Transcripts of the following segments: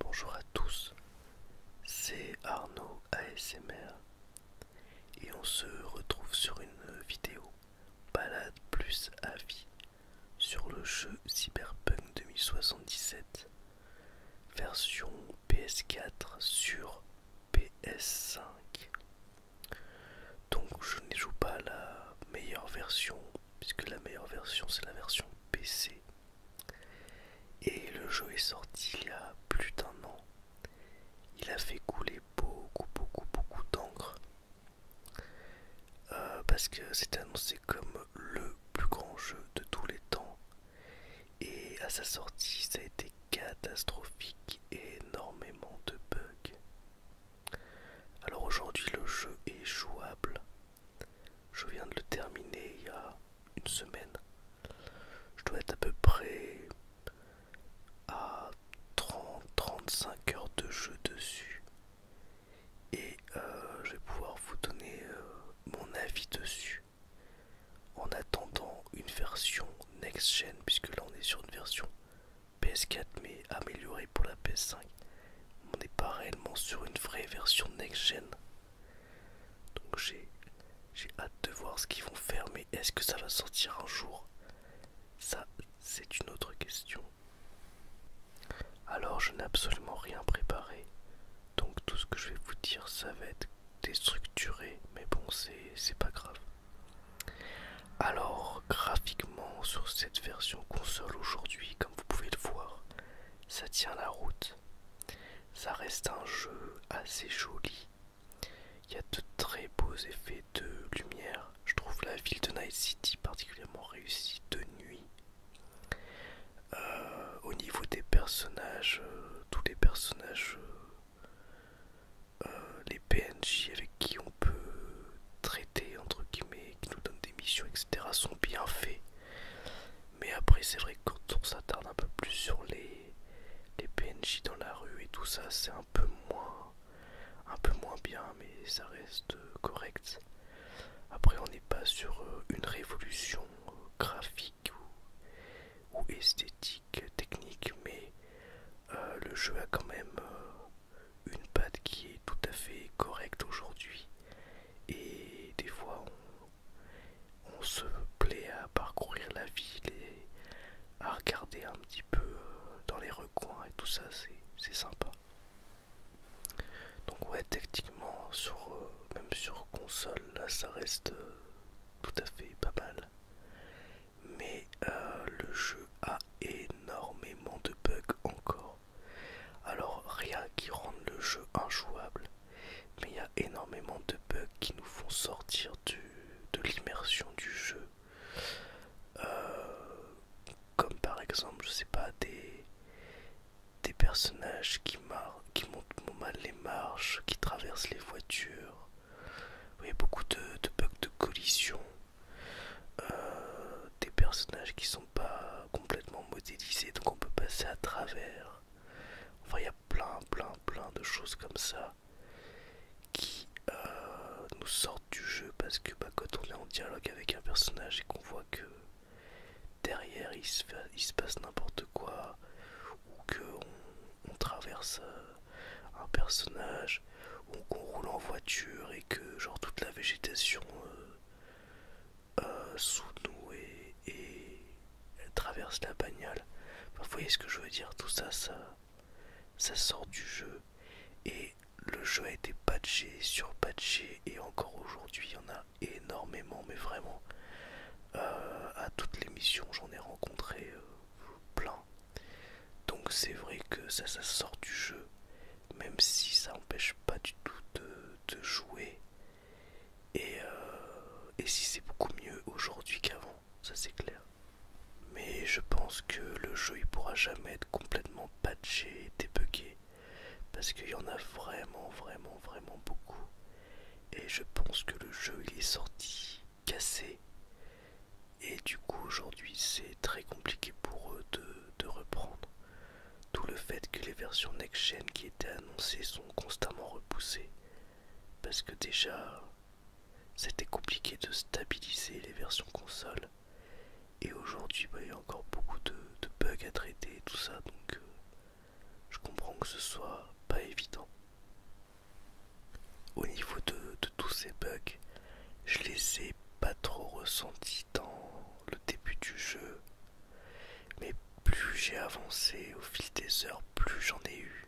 Bonjour à tous, c'est Arnaud ASMR et on se retrouve sur une vidéo balade plus à vie sur le jeu Cyberpunk 2077 version PS4 sur PS5. Donc je ne joue pas la meilleure version, puisque la meilleure version c'est la version PC. Et le jeu est sorti il y a plus d'un an. Il a fait couler beaucoup, beaucoup, beaucoup d'encre. Euh, parce que c'est annoncé comme le plus grand jeu de tous les temps et à sa sortie, ça a été catastrophique énormément de bugs. Alors aujourd'hui, le jeu est jouable. Je viens de le terminer il y a une semaine. Je dois être à peu près à 30-35 heures de jeu dessus. Et euh, je vais pouvoir vous donner euh, mon avis dessus. En attendant une version next-gen, puisque là on est sur une version PS4 mais améliorée pour la PS5, on n'est pas réellement sur une vraie version next-gen. Donc j'ai hâte de voir ce qu'ils vont faire, mais est-ce que ça va sortir un jour Ça, c'est une autre question. Alors je n'ai absolument rien préparé. Donc tout ce que je vais vous dire, ça va être déstructuré, mais bon, c'est pas grave. Alors, graphiquement, sur cette version console aujourd'hui, comme vous pouvez le voir, ça tient la route. Ça reste un jeu assez joli. Il y a de très beaux effets de lumière. Je trouve la ville de Night City particulièrement réussie de nuit. Euh, au niveau des personnages, euh, tous les personnages, euh, les PNJ avec qui on peut traiter, entre guillemets, qui nous donnent des missions, etc., sont bien faits. Mais après, c'est vrai que quand on s'attarde un peu plus sur les, les PNJ dans la rue et tout ça, c'est un peu moins un peu moins bien mais ça reste correct après on n'est pas sur une révolution graphique ou, esthétique, technique, mais euh, le jeu a quand même euh, une patte qui est tout à fait correcte aujourd'hui. Et des fois, on, se plaît à parcourir la ville et à regarder un petit peu euh, dans les recoins et tout ça, c'est sympa. Donc ouais, techniquement, sur même sur console, là, ça reste euh, tout à fait pas mal. Mais euh, le jeu a énormément de bugs encore. Alors rien qui rende le jeu injouable, mais il y a énormément de bugs qui nous font sortir de l'immersion du jeu. Euh, comme par exemple, je sais pas, des, des personnages qui, montent qui montent mal les marches, qui traversent les voitures. voyez beaucoup de, bugs de collision. Euh, des personnages qui sont pas complètement modélisés, donc on peut passer à travers. Enfin, il y a plein, plein, plein de choses comme ça qui euh, nous sortent du jeu parce que bah, quand on est en dialogue avec un personnage et qu'on voit que derrière il se, passe n'importe quoi ou que on, traverse euh, un personnage ou qu'on roule en voiture et que genre toute la végétation euh, euh, sous nous et, traverse la bagnole vous voyez ce que je veux dire tout ça ça ça sort du jeu et le jeu a été patché sur patché et encore aujourd'hui il y en a énormément, mais vraiment. Euh, à toutes les missions, j'en ai rencontré euh, plein. Donc c'est vrai que ça, ça sort du jeu, même si ça empêche pas du tout de, jouer. Euh, et, si c'est beaucoup mieux aujourd'hui qu'avant, ça c'est clair. Mais je pense que le jeu il pourra jamais être complètement patché et débugué. Parce qu'il y en a vraiment, vraiment, vraiment beaucoup. Et je pense que le jeu il est sorti cassé. Et du coup aujourd'hui c'est très compliqué pour eux de, reprendre. Tout le fait que les versions next-gen qui étaient annoncées sont constamment repoussées. Parce que déjà c'était compliqué de stabiliser les versions console. Et aujourd'hui, bah, il y a encore beaucoup de, bugs à traiter et tout ça. Donc, euh, je comprends que ce soit pas évident. Au niveau de, tous ces bugs, je les ai pas trop ressentis dans le début du jeu. Mais plus j'ai avancé au fil des heures, plus j'en ai eu.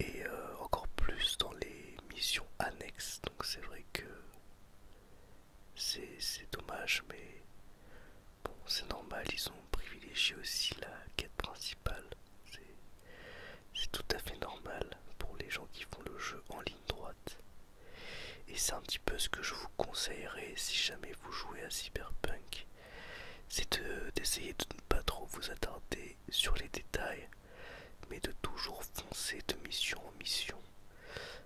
Et euh, encore plus dans les missions annexes. Donc c'est vrai que c'est dommage, mais bon, c'est normal, ils ont privilégié aussi la quête principale. C'est tout à fait normal pour les gens qui font le jeu en ligne droite. Et c'est un petit peu ce que je vous conseillerais si jamais vous jouez à Cyberpunk. C'est d'essayer de, ne pas trop vous attarder sur les détails, mais de toujours foncer de mission en mission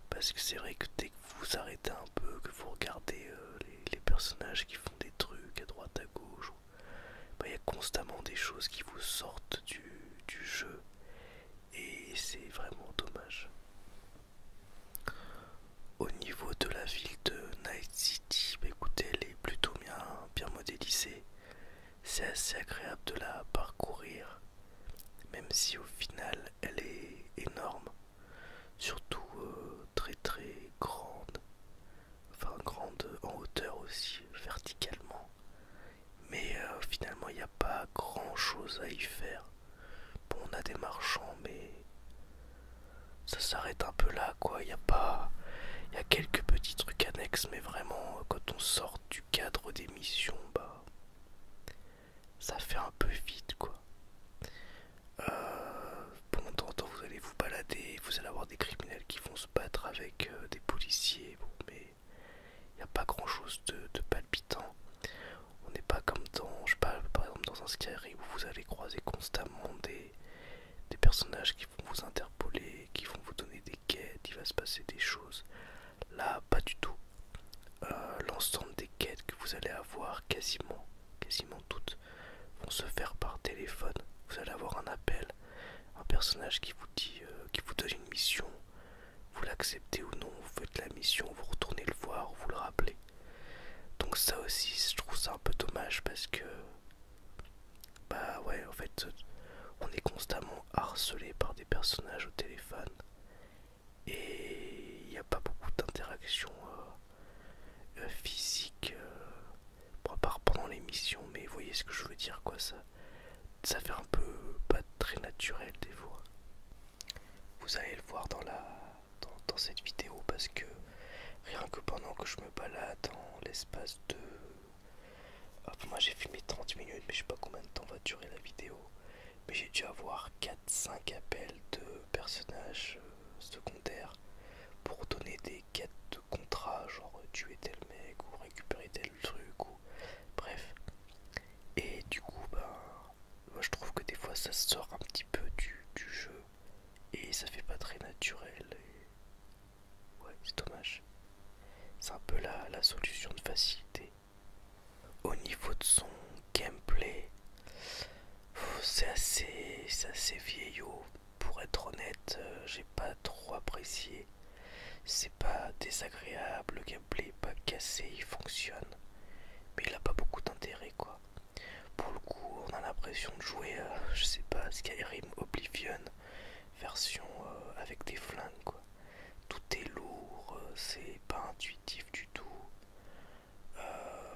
parce que c'est vrai que dès que vous arrêtez un peu, que vous regardez euh, les, personnages qui font des trucs à droite à gauche, bah, il y a constamment des choses qui vous sortent du, jeu. Et c'est vraiment dommage. Au niveau de la ville de Night City, bah, écoutez, elle est plutôt bien, bien modélisée. C'est assez agréable de la parcourir, même si au final elle est énorme surtout euh, très très grande, enfin grande en hauteur aussi, verticalement. Mais euh, finalement, il n'y a pas grand chose à y faire. Bon, on a des marchands, mais ça s'arrête un peu là, quoi. Il y a pas. Il y a quelques petits trucs annexes, mais vraiment, euh, quand on sort du cadre des missions, bah ça fait un peu vite quoi. Euh, pendant temps vous allez vous balader, vous allez avoir des criminels qui vont se battre avec euh, des policiers, mais il n'y a pas grand chose de, palpitant. On n'est pas comme dans, je parle par exemple dans un Skyrim où vous allez croiser constamment des, des personnages qui vont vous interpeller, qui vont vous donner des quêtes, il va se passer des choses. Là, pas du tout. Euh, l'ensemble des quêtes que vous allez avoir, quasiment, quasiment toutes, vont se faire par téléphone. Vous allez avoir un appel, un personnage qui vous dit, euh, qui vous donne une mission. Vous l'acceptez ou non, vous faites la mission, vous retournez le voir, vous le rappelez. Donc ça aussi, je trouve ça un peu dommage parce que, bah ouais, en fait, on est constamment harcelé par des personnages au téléphone et il n'y a pas beaucoup d'interaction euh, euh, physiques, physique euh, à part pendant l'émission mais vous voyez ce que je veux dire quoi ça ça fait un peu pas très naturel des fois vous allez le voir dans la dans, cette vidéo parce que rien que pendant que je me balade dans l'espace de ah, moi j'ai filmé 30 minutes mais je sais pas combien de temps va durer la vidéo mais j'ai dû avoir 4-5 appels de personnages euh, secondaires pour donner des quêtes de contrat, genre tuer tel mec ou récupérer tel truc ou bref. Et du coup, ben, moi je trouve que des fois ça sort un petit peu du, du jeu et ça fait pas très naturel. Et... Ouais, c'est dommage. C'est un peu la, la solution de facilité. Au niveau de son gameplay, c'est assez, assez vieillot. Pour être honnête, euh, j'ai pas trop apprécié. C'est pas désagréable, le gameplay est pas cassé, il fonctionne. Mais il a pas beaucoup d'intérêt quoi. Pour le coup, on a l'impression de jouer, euh, je sais pas, Skyrim Oblivion, version euh, avec des flingues tout est lourd, c'est pas intuitif du tout. Euh,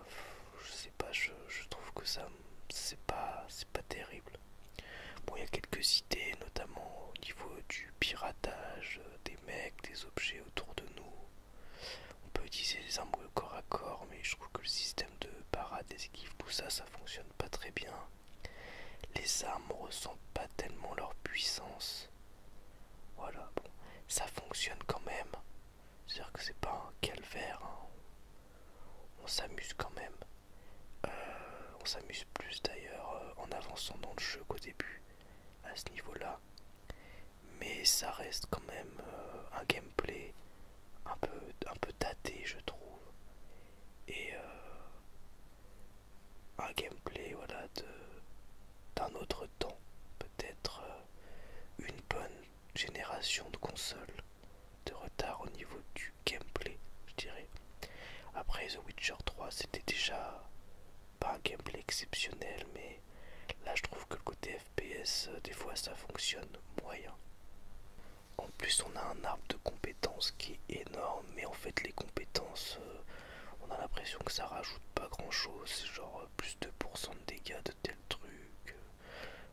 je sais pas, je, trouve que ça c'est pas c'est pas terrible. Bon, il y a quelques idées, notamment au niveau du piratage des mecs, des objets autour de nous. On peut utiliser les armes corps à corps, mais je trouve que le système de parade, des équipes, tout ça, ça fonctionne pas très bien. Les armes ressentent pas tellement leur puissance. Voilà, bon, ça fonctionne quand même. cest à que c'est pas un calvaire. Hein. On s'amuse quand même. Euh, on s'amuse plus d'ailleurs euh, en avançant dans le jeu qu'au début, à ce niveau-là. Mais ça reste quand même euh, un gameplay un peu, un peu daté, je trouve. Et, un gameplay voilà, d'un autre temps, peut-être euh, une bonne génération de console de retard au niveau du gameplay, je dirais. Après The Witcher 3, c'était déjà pas un gameplay exceptionnel, mais là je trouve que le côté FPS, euh, des fois ça fonctionne moyen. En plus, on a un arbre de compétences qui est énorme, mais en fait, les compétences, euh, on a l'impression que ça rajoute pas grand chose, genre euh, plus de pourcent de dégâts de tel truc, euh,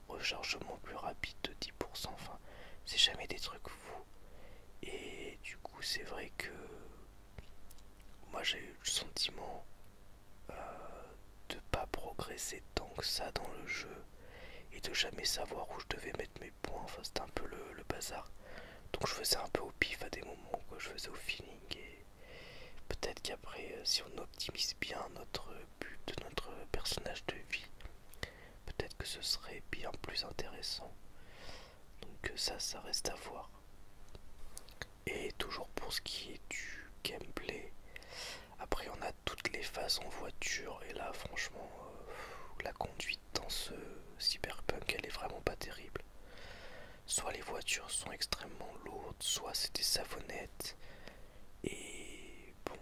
rechargement plus rapide de 10%, enfin c'est jamais des trucs fous. Et du coup c'est vrai que moi j'ai eu le sentiment euh, de pas progresser tant que ça dans le jeu et de jamais savoir où je devais mettre mes points, enfin c'était un peu le bazar. Donc je faisais un peu au pif à des moments, que je faisais au feeling et peut-être qu'après euh, si on optimise bien notre but, notre personnage de vie, peut-être que ce serait bien plus intéressant. Donc euh, ça, ça reste à voir. Et toujours pour ce qui est du gameplay, après on a toutes les phases en voiture et là franchement euh, la conduite dans ce cyberpunk, elle est vraiment pas terrible. Soit les voitures sont extrêmement lourdes, soit c'est des savonnettes. Et bon,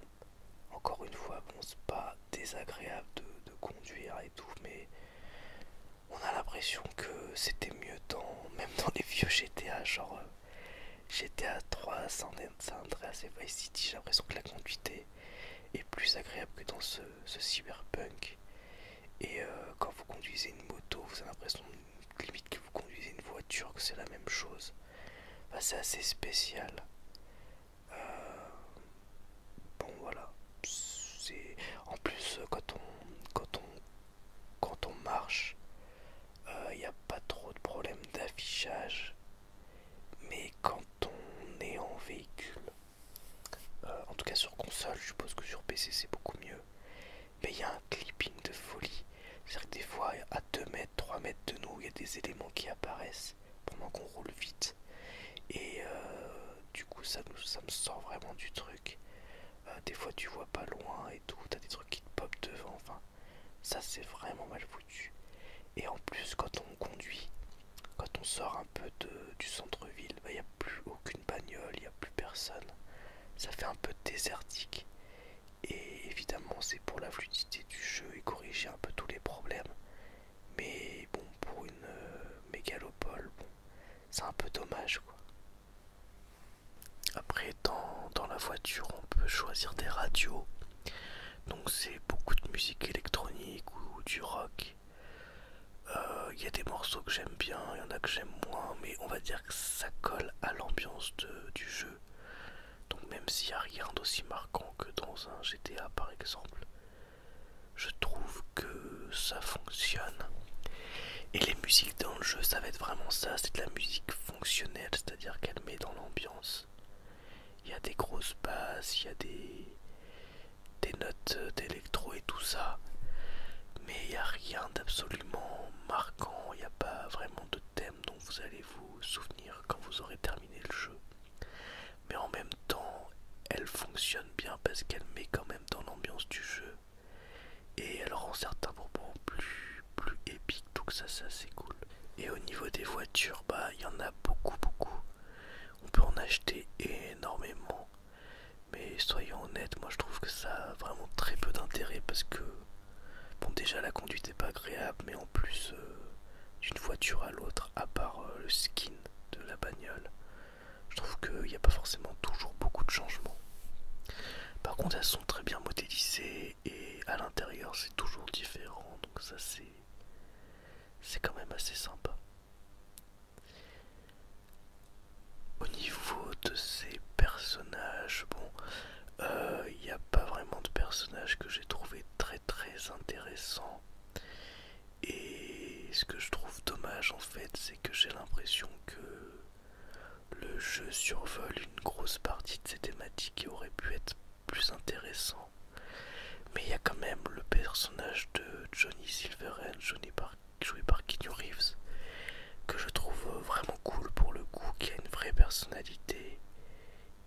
encore une fois, bon, c'est pas désagréable de, conduire et tout, mais on a l'impression que c'était mieux dans, même dans les vieux GTA, genre euh, GTA 3, San Andreas et Vice City, j'ai l'impression que la conduite est plus agréable que dans ce ce cyberpunk. Et euh, quand vous conduisez une moto, vous avez l'impression limite que vous conduisez une voiture, que c'est la même chose. c'est assez spécial. Euh, bon voilà. C'est en plus quand on quand on quand on marche, il euh, n'y a pas trop de problèmes d'affichage. Mais quand on est en véhicule, euh, en tout cas sur console, je suppose que sur PC c'est beaucoup mieux. Mais il y a un clipping de folie. C'est-à-dire que des fois à 2 mètres, 3 mètres de nous, il y a des éléments qui apparaissent pendant qu'on roule vite. Et euh, du coup ça, me sort vraiment du truc. Euh, des fois tu vois pas loin et tout, t'as des trucs qui te pop devant, enfin ça c'est vraiment mal foutu. Et en plus quand on conduit, quand on sort un peu du centre-ville, bah, il n'y a plus aucune bagnole, il n'y a plus personne. Ça fait un peu désertique. Et évidemment, c'est pour la fluidité du jeu et corriger un peu tous les problèmes. Mais bon, pour une euh, mégalopole, c'est un peu dommage Après, dans la voiture, on peut choisir des radios. Donc, c'est beaucoup de musique électronique ou du rock il euh, y a des morceaux que j'aime bien, il y en a que j'aime moins, mais on va dire que ça colle à l'ambiance du jeu. Donc même s'il n'y a rien d'aussi marquant que dans un GTA par exemple, je trouve que ça fonctionne. Et les musiques dans le jeu, ça va être vraiment ça, c'est de la musique fonctionnelle, c'est-à-dire qu'elle met dans l'ambiance. Il y a des grosses basses, il y a des des notes euh, d'électro et tout ça. Mais il n'y a rien d'absolument marquant, il n'y a pas vraiment de thème dont vous allez vous souvenir quand vous aurez terminé le jeu. Mais en même temps, elle fonctionne bien parce qu'elle met quand même dans l'ambiance du jeu. Et elle rend certains moments plus, plus épiques, donc ça, ça c'est cool. Et au niveau des voitures, bah il y en a beaucoup, beaucoup on peut en acheter énormément mais soyons honnêtes moi je trouve que ça a vraiment très peu d'intérêt parce que bon déjà la conduite n'est pas agréable mais en plus euh, d'une voiture à l'autre à part euh, le skin de la bagnole je trouve qu'il n'y a pas forcément toujours beaucoup de changements par contre elles sont très bien modélisées et à l'intérieur c'est toujours différent donc ça c'est c'est quand même assez sympa au niveau de ces personnages, bon, il euh, n'y a pas vraiment de personnages que j'ai trouvé très très intéressant. Et ce que je trouve dommage en fait, c'est que j'ai l'impression que le jeu survole une grosse partie de ces thématiques qui aurait pu être plus intéressant. Mais il y a quand même le personnage de Johnny Silverhand, joué par Keanu Reeves, que je trouve vraiment cool pour le coup, qui a une vraie personnalité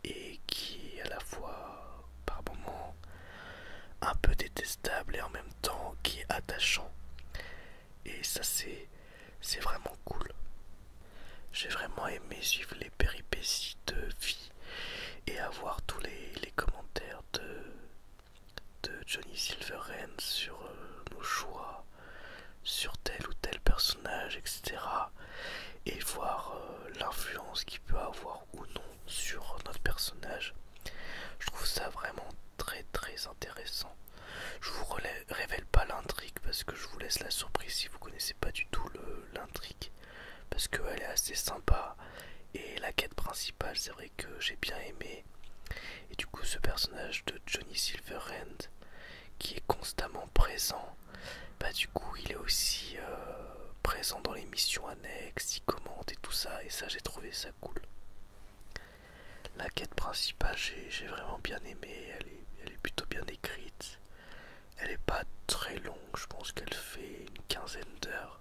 et qui est à la fois par moments un peu détestable et en même temps qui est attachant. Et ça c'est vraiment cool. J'ai vraiment aimé suivre les péripéties de et à voir tous les, commentaires de, de Johnny Silverhand sur euh, nos choix, sur tel ou tel personnage, etc. Et voir euh, l'influence qu'il peut avoir ou non sur notre personnage. Je trouve ça vraiment très très intéressant. Je vous révèle pas l'intrigue parce que je vous laisse la surprise si vous connaissez pas du tout l'intrigue parce qu'elle est assez sympa et la quête principale c'est vrai que j'ai bien aimé et du coup ce personnage de Johnny Silverhand qui est constamment présent bah du coup il est aussi euh, présent dans les missions annexes, il commente et tout ça et ça j'ai trouvé ça cool. La quête principale j'ai vraiment bien aimé, elle est plutôt bien écrite. Elle est pas très longue, je pense qu'elle fait une quinzaine d'heures.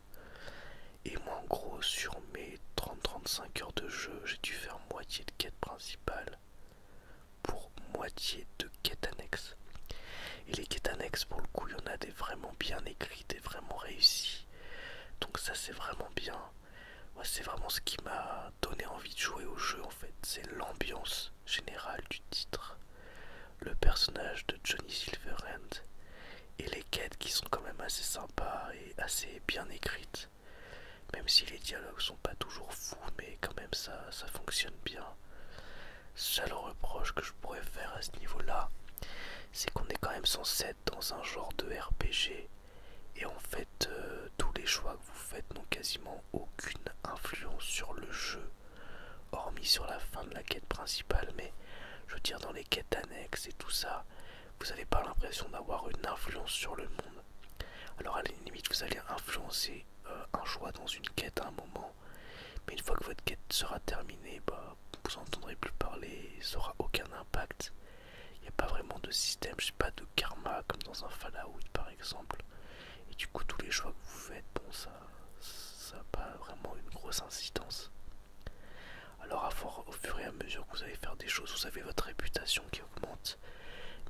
Et moi en gros sur mes 30-35 heures de jeu, j'ai dû faire moitié de quête principale pour moitié de quête annexe. Et les quêtes annexes pour le coup, il y en a des vraiment bien écrites des vraiment réussies. Donc ça c'est vraiment bien. Moi c'est vraiment ce qui m'a donné envie de jouer au jeu en fait. C'est l'ambiance générale du titre le personnage de Johnny Silverhand et les quêtes qui sont quand même assez sympas et assez bien écrites. Même si les dialogues sont pas toujours fous, mais quand même ça, ça fonctionne bien. Seul reproche que je pourrais faire à ce niveau-là, c'est qu'on est quand même censé être dans un genre de RPG et en fait euh, tous les choix que vous faites n'ont quasiment aucune influence sur le jeu hormis sur la fin de la quête principale, mais je veux dire dans les quêtes annexes et tout ça, vous n'avez pas l'impression d'avoir une influence sur le monde. Alors à la limite, vous allez influencer euh, un choix dans une quête à un moment, mais une fois que votre quête sera terminée, bah, vous n'entendrez plus parler, ça n'aura aucun impact. Il n'y a pas vraiment de système, je sais pas, de karma comme dans un Fallout par exemple. Et du coup, tous les choix que vous faites, bon, ça ça n'a pas vraiment une grosse incidence. Alors à fort, au fur et à mesure que vous allez faire des choses, vous avez votre réputation qui augmente.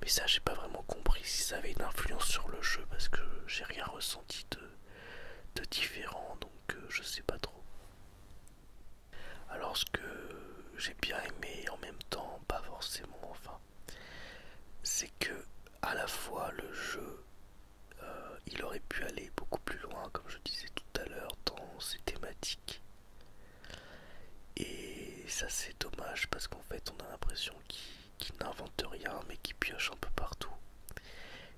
Mais ça, j'ai pas vraiment compris si ça avait une influence sur le jeu parce que j'ai rien ressenti de, différent, donc euh, je sais pas trop. Alors ce que j'ai bien aimé en même temps, pas forcément, enfin, c'est que à la fois le jeu euh, il aurait pu aller beaucoup plus loin, comme je disais tout à l'heure, dans ses thématiques. Et ça c'est dommage parce qu'en fait on a l'impression qu'il n'invente rien mais qu'il pioche un peu partout.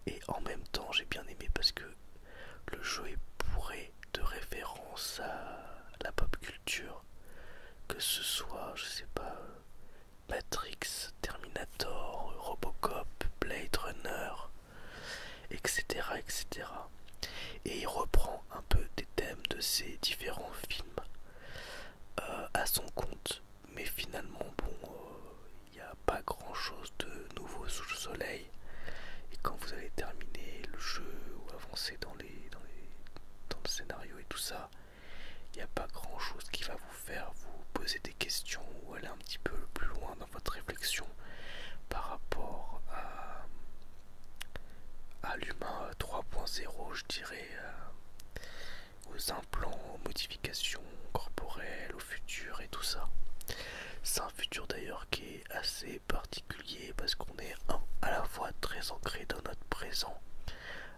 Et en même temps j'ai bien aimé parce que le jeu est bourré de références à la pop culture. Que ce soit, je sais pas, Matrix, Terminator, Robocop, Blade Runner, etc. etc. Et il reprend un peu des thèmes de ces différents films euh, à son compte, mais finalement, bon, euh, il n'y a pas grand chose de nouveau sous le soleil. Et quand vous allez terminer le jeu ou avancer dans, les, dans, les, dans le scénario et tout ça, il n'y a pas grand chose qui va vous faire vous poser des questions ou aller un petit peu plus loin dans votre réflexion par rapport à, l'humain 3.0, je dirais, euh, aux implants, aux modifications corporelles, au futur et tout ça. C'est un futur d'ailleurs qui est assez particulier parce qu'on est à la fois très ancré dans notre présent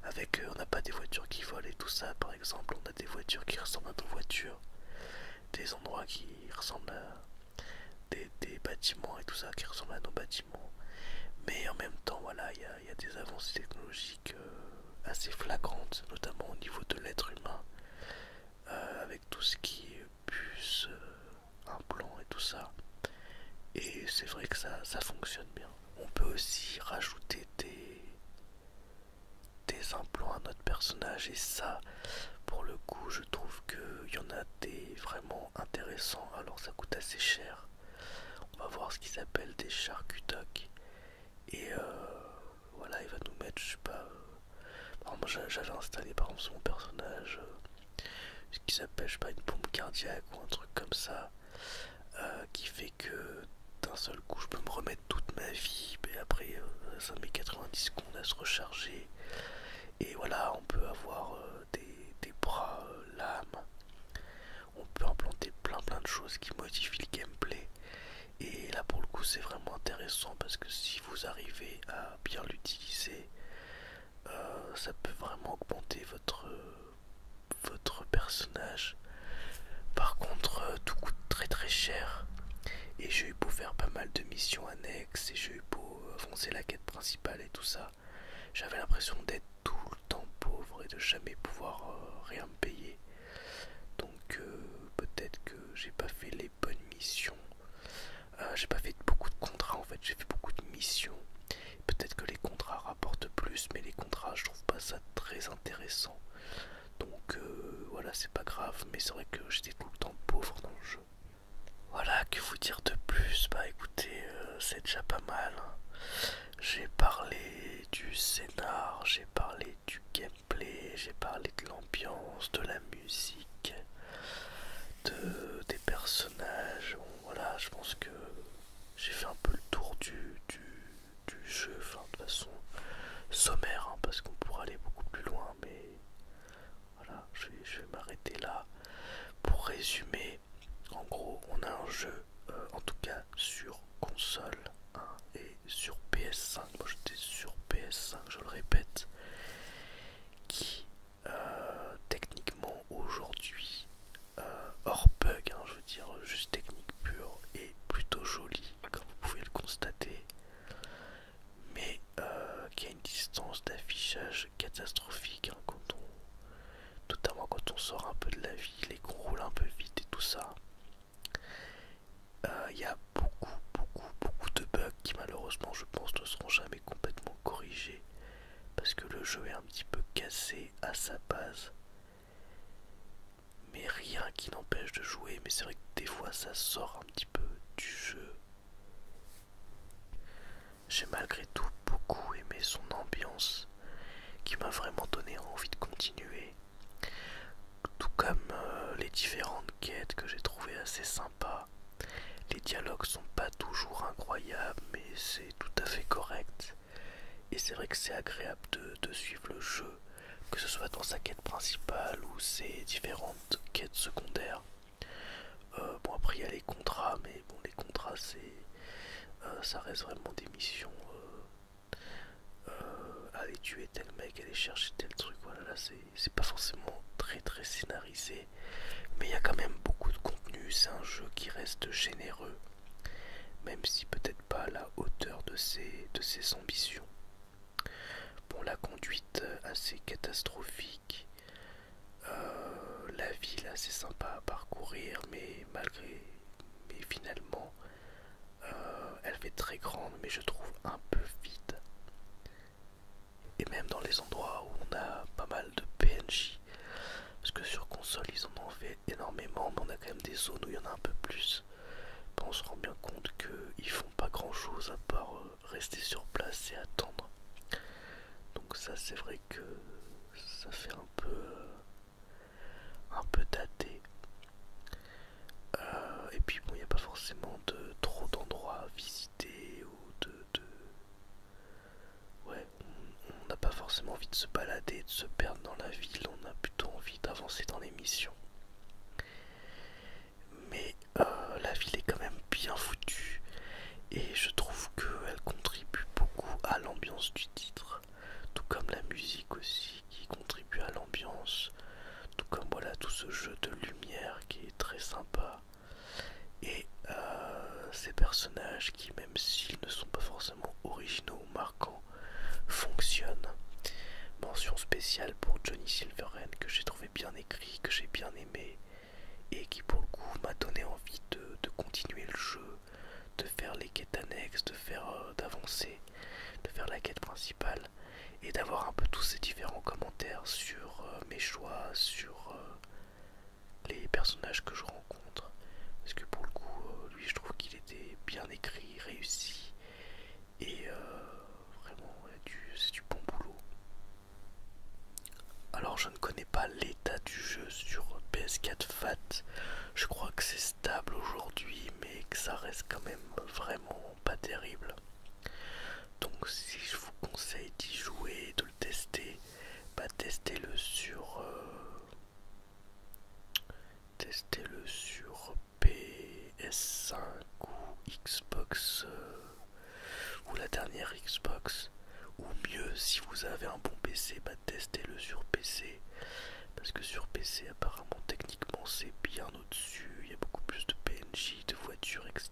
avec euh, on n'a pas des voitures qui volent et tout ça, par exemple, on a des voitures qui ressemblent à nos voitures, des endroits qui ressemblent à des, bâtiments et tout ça, qui ressemblent à nos bâtiments. Mais en même temps, voilà, il y, a des avancées technologiques euh, assez flagrantes, notamment au niveau de l'être humain, euh, avec tout ce qui est puce, un implant et tout ça. Et c'est vrai que ça fonctionne bien. On peut aussi rajouter des, des implants à notre personnage et ça pour le coup je trouve qu'il y en a des vraiment intéressants alors ça coûte assez cher. On va voir ce qu'ils appellent des charcutocs et euh, voilà il va nous mettre je sais pas euh, j'avais installé par exemple sur mon personnage euh, ce qu'il s'appelle, je sais pas une pompe cardiaque ou un truc comme ça euh, qui fait que d'un seul coup je peux me remettre toute ma vie et après euh, ça met 90 secondes à se recharger et voilà on peut avoir euh, des, bras lames on peut implanter plein plein de choses qui modifient le gameplay et là pour le coup c'est vraiment intéressant parce que si vous arrivez à bien l'utiliser ça peut vraiment augmenter votre, votre personnage. Par contre, euh, tout coûte très très cher. Et j'ai eu beau faire pas mal de missions annexes et j'ai eu beau euh, avancer la quête principale et tout ça. J'avais l'impression d'être tout le temps pauvre et de jamais pouvoir euh, rien me payer. Donc peut-être que j'ai pas fait les bonnes missions. j'ai pas fait beaucoup de contrats en fait, j'ai fait beaucoup de missions. Peut-être que les contrats rapportent plus, mais les contrats, je trouve pas ça très intéressant. Donc euh, voilà, c'est pas grave, mais c'est vrai que j'étais tout le temps pauvre dans le jeu. Voilà, que vous dire de plus Bah écoutez, euh, c'est déjà pas mal. J'ai parlé du scénar, j'ai parlé du gameplay, j'ai parlé de l'ambiance, de la musique, de, des personnages. voilà, je pense que j'ai fait un peu le tour du, du, jeu, de façon sommaire, hein, parce qu'on pourrait aller beaucoup plus loin, mais voilà, je vais, je vais m'arrêter là. Pour résumer, en gros, on a un jeu, euh, en tout cas sur console hein, et sur PS5, moi j'étais sur PS5, je le répète, qui euh, techniquement aujourd'hui euh, hors bug, hein, je veux dire euh, juste technique pure et plutôt jolie comme vous pouvez le constater, mais euh, qui a une distance d'affichage catastrophique hein, quand notamment quand on sort un peu de la ville et qu'on roule un peu vite et tout ça. Il y a beaucoup, beaucoup, beaucoup de bugs qui malheureusement je pense ne seront jamais complètement corrigés parce que le jeu est un petit peu cassé à sa base mais rien qui n'empêche de jouer, mais c'est vrai que des fois ça sort un petit peu du jeu. J'ai malgré tout beaucoup aimé son ambiance qui m'a vraiment donné envie de continuer. Tout comme euh, les différentes quêtes que j'ai trouvées assez sympas. Les dialogues sont pas toujours incroyables mais c'est tout à fait correct. Et c'est vrai que c'est agréable de, suivre le jeu, que ce soit dans sa quête principale ou ses différentes quêtes secondaires. Euh, bon après il y a les contrats, mais bon les contrats c'est euh, ça reste vraiment des missions. Euh, aller tuer tel mec, aller chercher tel truc, voilà là c'est pas forcément très très scénarisé, mais il y a quand même beaucoup de contenu, c'est un jeu qui reste généreux même si peut-être pas à la hauteur de ses, de ses ambitions. Bon, la conduite assez catastrophique, euh, la ville assez sympa à parcourir, mais malgré, mais finalement, euh, elle fait très grande, mais je trouve un peu vide. Et même dans les endroits où on a pas mal de PNJ, parce que sur console, ils en ont fait énormément, mais on a quand même des zones où il y en a un peu plus. on se rend bien compte qu'ils font pas grand chose à part euh, rester sur place et attendre. Donc ça c'est vrai que ça fait un peu euh, un peu daté. Euh, et puis bon il n'y a pas forcément de trop d'endroits à visiter ou de, Ouais, on n'a pas forcément envie de se balader, de se perdre dans la ville, on a plutôt envie d'avancer dans les missions. Mais euh, la ville est quand même bien foutue et je trouve qu'elle contribue beaucoup à l'ambiance du titre, tout comme la musique aussi qui contribue à l'ambiance, tout comme voilà tout ce jeu de lumière qui est très sympa et euh, ces personnages qui même s'ils ne sont pas forcément originaux ou marquants fonctionnent. Mention spéciale pour Johnny Silverhand que j'ai trouvé bien écrit, que j'ai bien aimé et qui pour le coup m'a donné envie de, continuer le jeu, de faire les quêtes annexes, de faire euh, d'avancer, de faire la quête principale et d'avoir un peu tous ces différents commentaires sur euh, mes choix, sur les personnages que je rencontre. Parce que pour le coup, euh, lui, je trouve qu'il était bien écrit, réussi. Et euh, vraiment, c'est du bon boulot. Alors, je ne connais pas l'état du jeu sur PS4 FAT. Je crois que c'est stable aujourd'hui, mais que ça reste quand même vraiment pas terrible. Donc, si je vous conseille d'y jouer, de le tester, bah testez-le sur euh, testez-le sur PS5 ou Xbox euh, ou la dernière Xbox ou mieux si vous avez un bon PC bah testez-le sur PC parce que sur PC apparemment techniquement c'est bien au-dessus, il y a beaucoup plus de PNJ, de voitures, etc.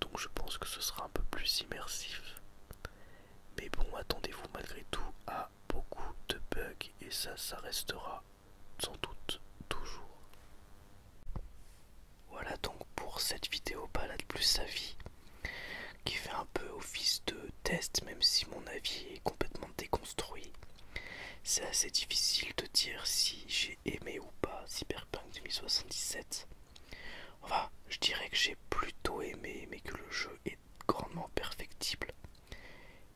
Donc je pense que ce sera un peu plus immersif. Mais bon, attendez-vous malgré tout à beaucoup de bugs et ça, ça restera sans doute toujours. Voilà donc pour cette vidéo balade plus sa vie qui fait un peu office de test même si mon avis est complètement déconstruit. C'est assez difficile de dire si j'ai aimé ou pas Cyberpunk 2077. Enfin, je dirais que j'ai plutôt aimé, mais que le jeu est grandement perfectible.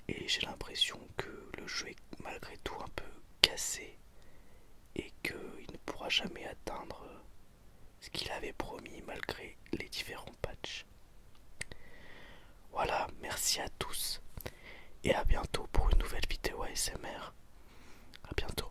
Et j'ai l'impression que le jeu est malgré tout un peu cassé et qu'il ne pourra jamais atteindre ce qu'il avait promis malgré les différents patchs. Voilà, merci à tous et à bientôt pour une nouvelle vidéo ASMR. À bientôt.